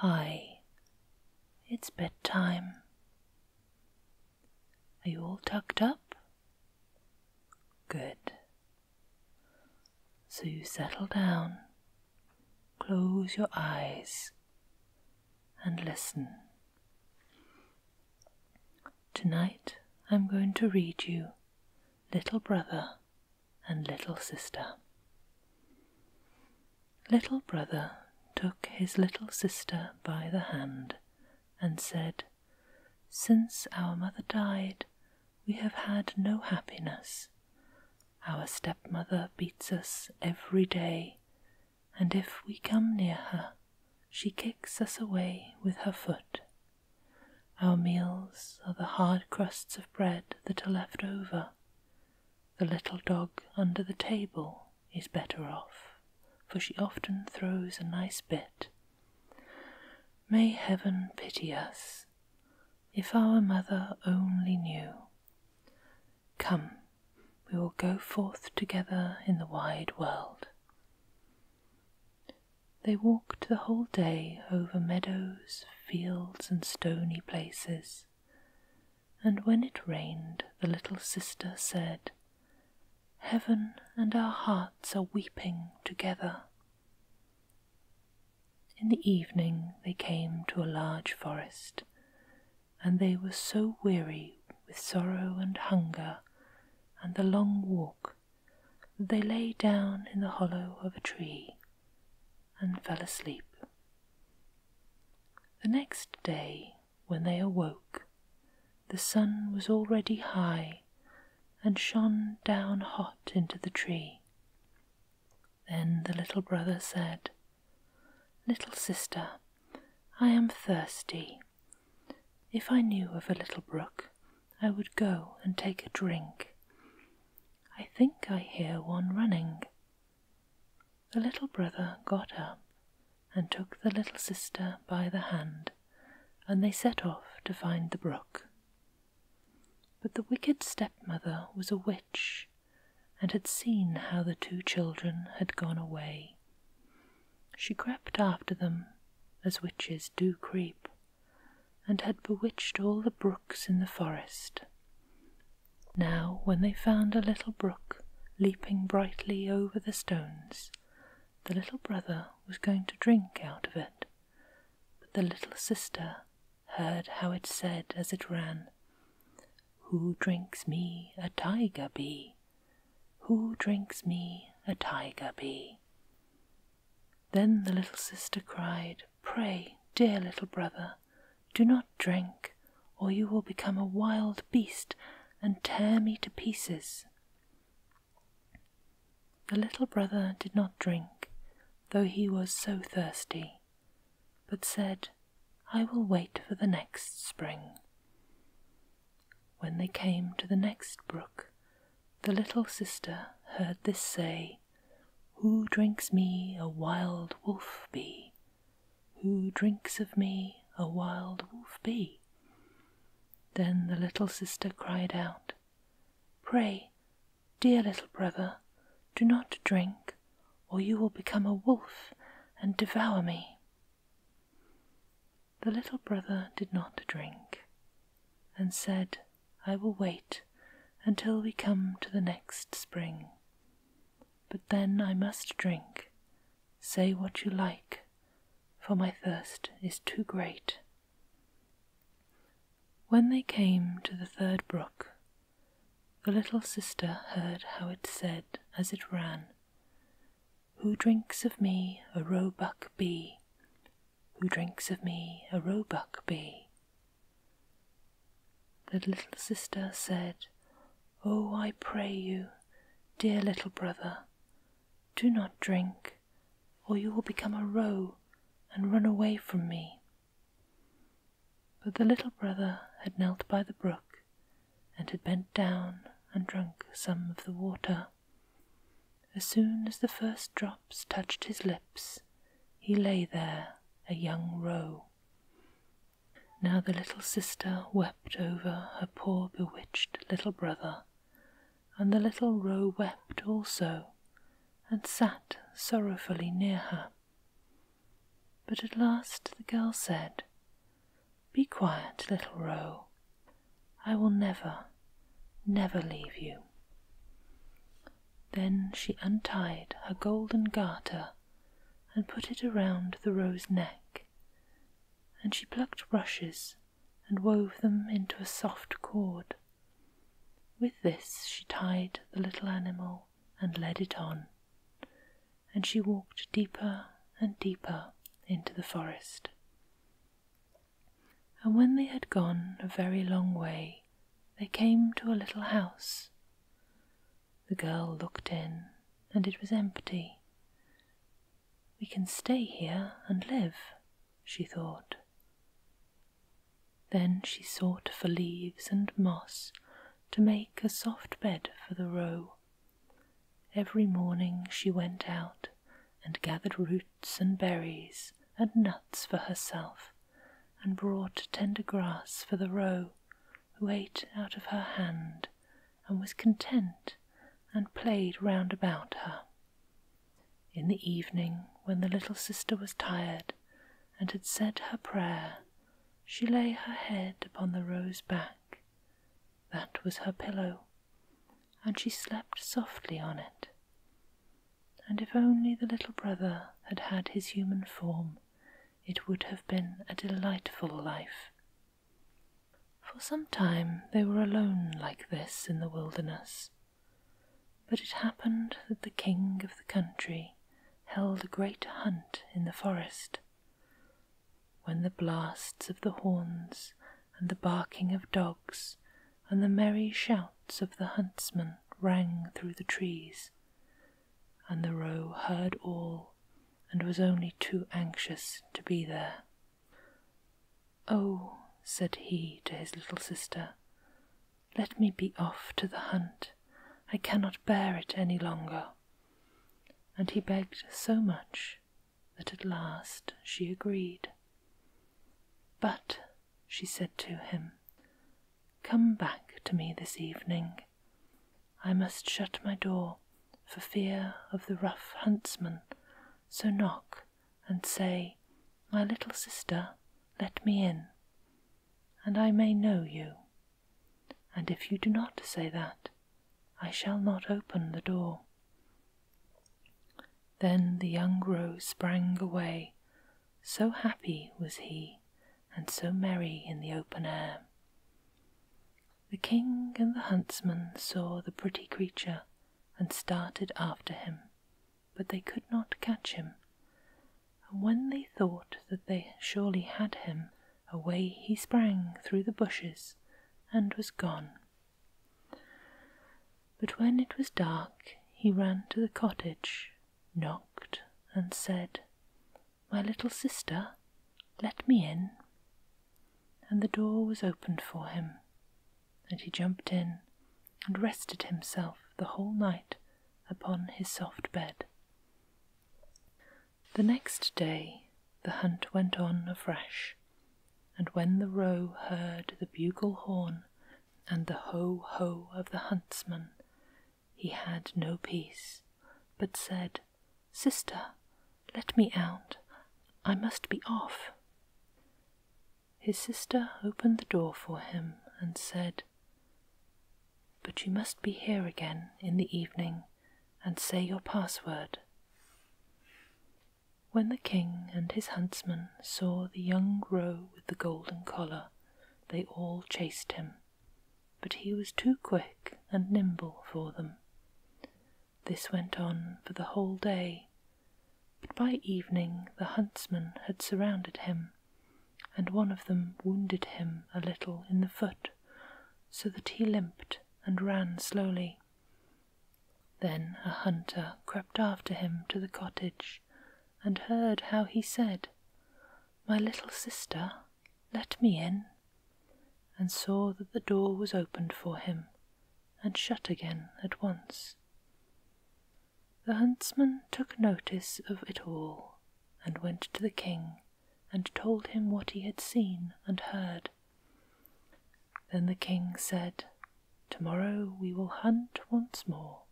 Hi, it's bedtime. Are you all tucked up? Good. So you settle down, close your eyes, and listen. Tonight I'm going to read you Little Brother and Little Sister. Little brother took his little sister by the hand and said, Since our mother died, we have had no happiness. Our stepmother beats us every day, and if we come near her, she kicks us away with her foot. Our meals are the hard crusts of bread that are left over. The little dog under the table is better off, for she often throws a nice bit. May heaven pity us, if our mother only knew. Come, we will go forth together in the wide world. They walked the whole day over meadows, fields, and stony places and when it rained, the little sister said, Heaven and our hearts are weeping together. In the evening they came to a large forest, and they were so weary with sorrow and hunger and the long walk that they lay down in the hollow of a tree and fell asleep. The next day, when they awoke, the sun was already high and shone down hot into the tree. Then the little brother said, Little sister, I am thirsty. If I knew of a little brook, I would go and take a drink. I think I hear one running. The little brother got up and took the little sister by the hand, and they set off to find the brook. But the wicked stepmother was a witch, and had seen how the two children had gone away. She crept after them, as witches do creep, and had bewitched all the brooks in the forest now, when they found a little brook leaping brightly over the stones, the little brother was going to drink out of it, but the little sister heard how it said as it ran, Who drinks me a tiger bee? Who drinks me a tiger bee? Then the little sister cried, Pray, dear little brother, do not drink, or you will become a wild beast and tear me to pieces. The little brother did not drink, though he was so thirsty, but said, I will wait for the next spring. When they came to the next brook, the little sister heard this say, who drinks me a wild wolf be? Who drinks of me a wild wolf be? Then the little sister cried out, Pray, dear little brother, do not drink, or you will become a wolf and devour me. The little brother did not drink, and said, I will wait until we come to the next spring but then I must drink. Say what you like, for my thirst is too great. When they came to the third brook, the little sister heard how it said as it ran, Who drinks of me a roebuck bee? Who drinks of me a roebuck bee? The little sister said, Oh, I pray you, dear little brother, do not drink, or you will become a roe and run away from me. But the little brother had knelt by the brook and had bent down and drunk some of the water. As soon as the first drops touched his lips, he lay there a young roe. Now the little sister wept over her poor bewitched little brother, and the little roe wept also, and sat sorrowfully near her. But at last the girl said, Be quiet, little roe. I will never, never leave you. Then she untied her golden garter and put it around the roe's neck, and she plucked rushes and wove them into a soft cord. With this she tied the little animal and led it on, and she walked deeper and deeper into the forest. And when they had gone a very long way, they came to a little house. The girl looked in, and it was empty. We can stay here and live, she thought. Then she sought for leaves and moss to make a soft bed for the roe. Every morning she went out and gathered roots and berries and nuts for herself and brought tender grass for the roe, who ate out of her hand, and was content, and played round about her. In the evening, when the little sister was tired, and had said her prayer, she lay her head upon the roe's back. That was her pillow, and she slept softly on it. And if only the little brother had had his human form, it would have been a delightful life. For some time they were alone like this in the wilderness, but it happened that the king of the country held a great hunt in the forest. When the blasts of the horns and the barking of dogs and the merry shouts of the huntsmen rang through the trees, and the roe heard all and was only too anxious to be there. Oh, said he to his little sister, let me be off to the hunt. I cannot bear it any longer. And he begged so much that at last she agreed. But, she said to him, Come back to me this evening. I must shut my door for fear of the rough huntsman, so knock and say, My little sister, let me in, and I may know you. And if you do not say that, I shall not open the door. Then the young roe sprang away, so happy was he and so merry in the open air. The king and the huntsman saw the pretty creature and started after him, but they could not catch him. And when they thought that they surely had him, away he sprang through the bushes and was gone. But when it was dark, he ran to the cottage, knocked, and said, my little sister, let me in. And the door was opened for him, and he jumped in and rested himself the whole night upon his soft bed. The next day the hunt went on afresh, and when the roe heard the bugle horn and the ho ho of the huntsman, he had no peace, but said, Sister, let me out. I must be off. His sister opened the door for him and said, But you must be here again in the evening and say your password. When the king and his huntsmen saw the young roe with the golden collar, they all chased him, but he was too quick and nimble for them. This went on for the whole day, but by evening the huntsmen had surrounded him, and one of them wounded him a little in the foot, so that he limped and ran slowly. Then a hunter crept after him to the cottage and heard how he said, my little sister, let me in, and saw that the door was opened for him and shut again at once. The huntsman took notice of it all and went to the king and told him what he had seen and heard. Then the king said, Tomorrow we will hunt once more.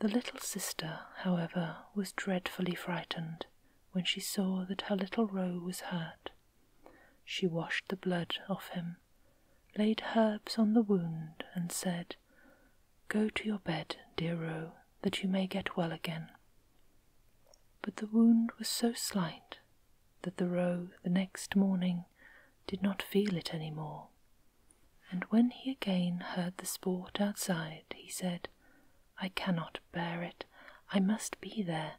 The little sister, however, was dreadfully frightened when she saw that her little Roe was hurt. She washed the blood off him, laid herbs on the wound, and said, Go to your bed, dear Roe, that you may get well again. But the wound was so slight that the Roe the next morning did not feel it any more, and when he again heard the sport outside, he said, I cannot bear it. I must be there.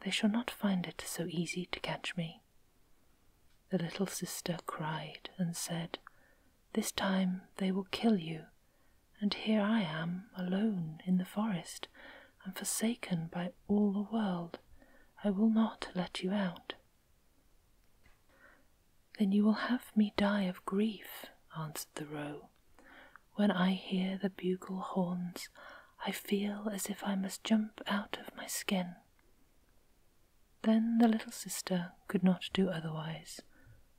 They shall not find it so easy to catch me. The little sister cried and said, This time they will kill you, and here I am alone in the forest and forsaken by all the world. I will not let you out. Then you will have me die of grief, answered the roe. When I hear the bugle horns, I feel as if I must jump out of my skin. Then the little sister could not do otherwise,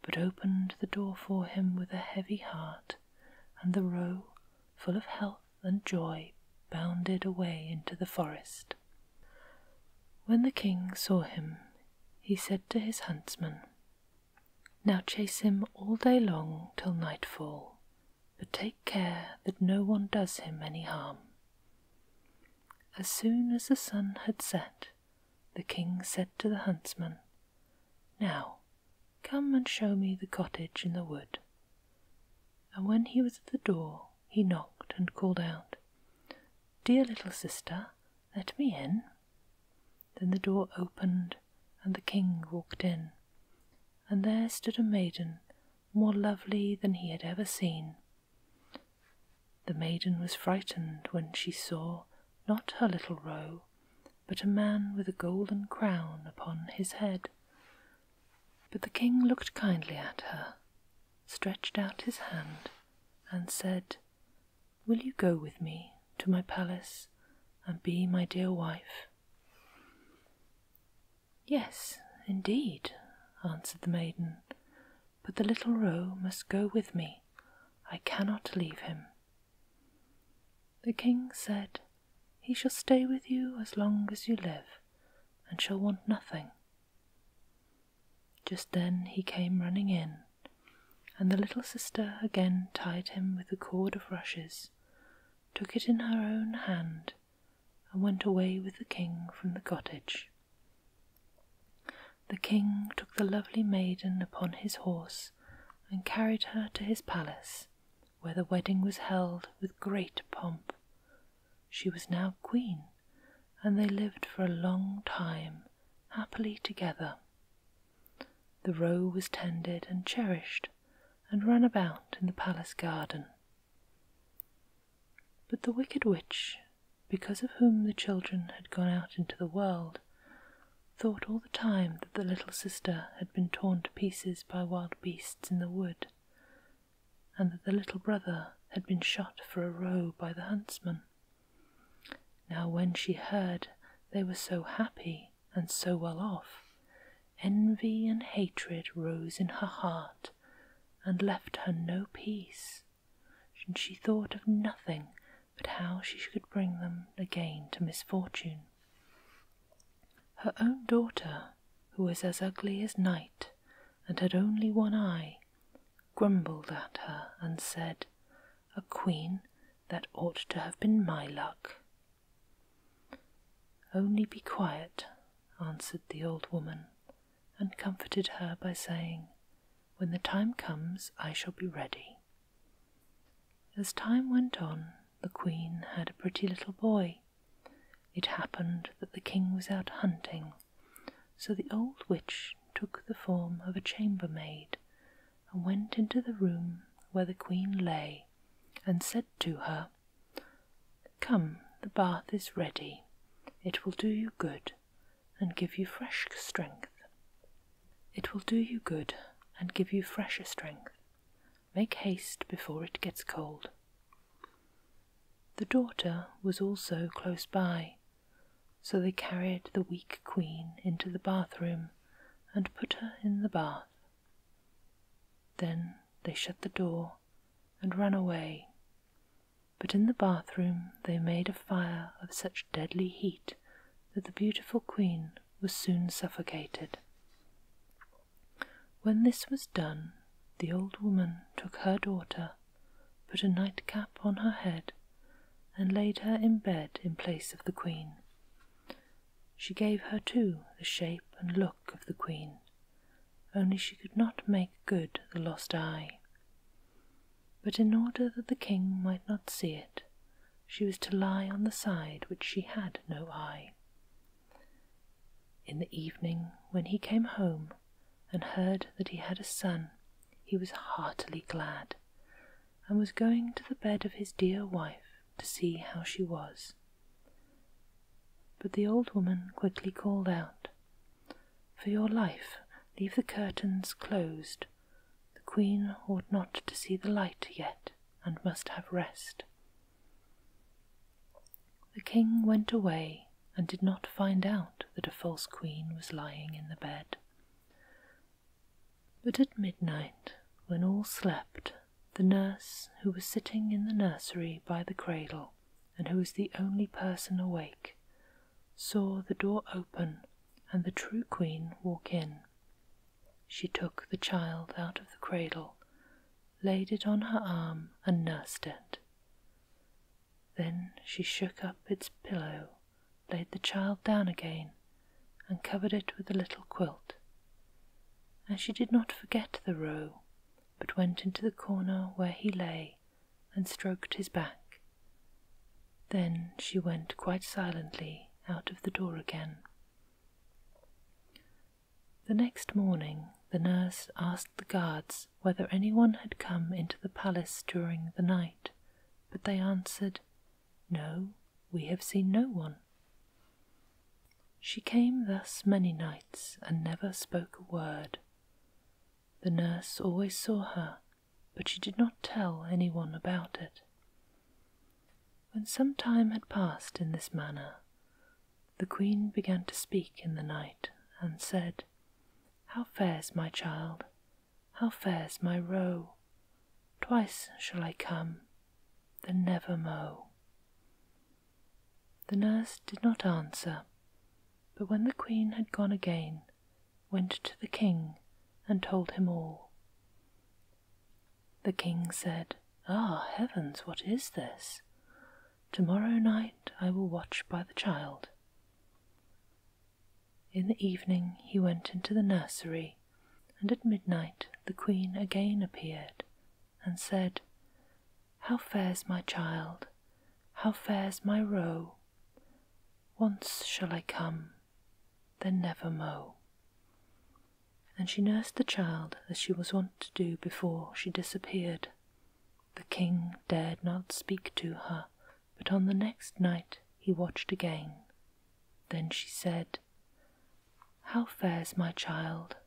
but opened the door for him with a heavy heart, and the roe, full of health and joy, bounded away into the forest. When the king saw him, he said to his huntsman, Now chase him all day long till nightfall, but take care that no one does him any harm. As soon as the sun had set, the king said to the huntsman, Now, come and show me the cottage in the wood. And when he was at the door, he knocked and called out, Dear little sister, let me in. Then the door opened, and the king walked in, and there stood a maiden more lovely than he had ever seen. The maiden was frightened when she saw not her little roe, but a man with a golden crown upon his head. But the king looked kindly at her, stretched out his hand and said, Will you go with me to my palace and be my dear wife? Yes, indeed, answered the maiden, but the little roe must go with me. I cannot leave him. The king said, He shall stay with you as long as you live, and shall want nothing. Just then he came running in and the little sister again tied him with a cord of rushes, took it in her own hand, and went away with the king from the cottage. The king took the lovely maiden upon his horse and carried her to his palace, where the wedding was held with great pomp. She was now queen, and they lived for a long time happily together. The roe was tended and cherished, and run about in the palace garden. But the wicked witch, because of whom the children had gone out into the world, thought all the time that the little sister had been torn to pieces by wild beasts in the wood, and that the little brother had been shot for a roe by the huntsman. Now, when she heard they were so happy and so well off, envy and hatred rose in her heart and left her no peace, and she thought of nothing but how she could bring them again to misfortune. Her own daughter, who was as ugly as night and had only one eye, grumbled at her and said, A queen that ought to have been my luck. Only be quiet, answered the old woman, and comforted her by saying, When the time comes, I shall be ready. As time went on, the queen had a pretty little boy. It happened that the king was out hunting so the old witch took the form of a chambermaid and went into the room where the queen lay and said to her, Come, the bath is ready. It will do you good and give you fresh strength. It will do you good and give you fresher strength. Make haste before it gets cold. The daughter was also close by, so they carried the weak queen into the bathroom and put her in the bath. Then they shut the door and ran away. But in the bathroom they made a fire of such deadly heat that the beautiful queen was soon suffocated. When this was done, the old woman took her daughter put a nightcap on her head, and laid her in bed in place of the queen. She gave her, too, the shape and look of the queen, only she could not make good the lost eye. But in order that the king might not see it, she was to lie on the side which she had no eye. In the evening, when he came home and heard that he had a son, he was heartily glad, and was going to the bed of his dear wife to see how she was. But the old woman quickly called out, For your life, leave the curtains closed. The queen ought not to see the light yet, and must have rest. The king went away and did not find out that a false queen was lying in the bed. But at midnight, when all slept, the nurse, who was sitting in the nursery by the cradle, and who was the only person awake, saw the door open and the true queen walk in. She took the child out of the cradle, laid it on her arm, and nursed it. Then she shook up its pillow, laid the child down again, and covered it with a little quilt. And she did not forget the roe, but went into the corner where he lay and stroked his back. Then she went quite silently out of the door again. The next morning the nurse asked the guards whether anyone had come into the palace during the night but they answered, No, we have seen no one. She came thus many nights and never spoke a word. The nurse always saw her, but she did not tell anyone about it. When some time had passed in this manner, the queen began to speak in the night and said, How fares my child? how fares my roe? Twice shall I come, then never mow. The nurse did not answer, but when the queen had gone again, went to the king and told him all. The king said, Ah, heavens, what is this? Tomorrow night I will watch by the child. In the evening he went into the nursery, and at midnight the queen again appeared, and said, How fares my child? How fares my roe? Once shall I come, then never mo. And she nursed the child as she was wont to do before she disappeared. The king dared not speak to her, but on the next night he watched again. Then she said, How fares my child?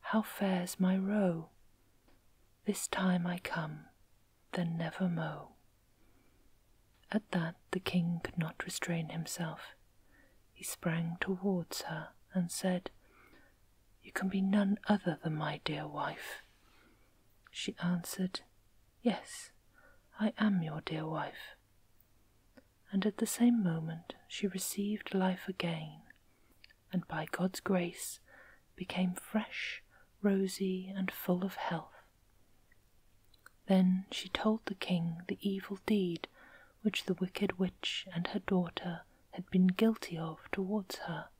How fares my roe? This time I come, then never mo. At that the king could not restrain himself. He sprang towards her and said, You can be none other than my dear wife. She answered, Yes, I am your dear wife. And at the same moment she received life again, and by God's grace became fresh, rosy, and full of health. Then she told the king the evil deed which the wicked witch and her daughter had been guilty of towards her,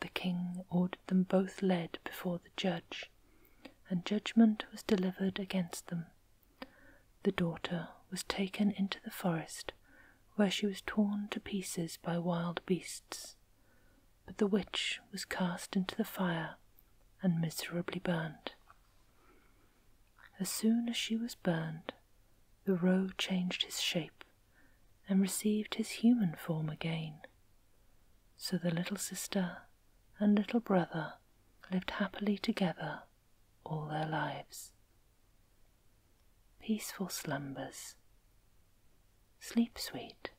the king ordered them both led before the judge, and judgment was delivered against them. The daughter was taken into the forest, where she was torn to pieces by wild beasts. But the witch was cast into the fire and miserably burned. As soon as she was burned, the roe changed his shape and received his human form again. So the little sister and little brother lived happily together all their lives. Peaceful slumbers. Sleep sweet.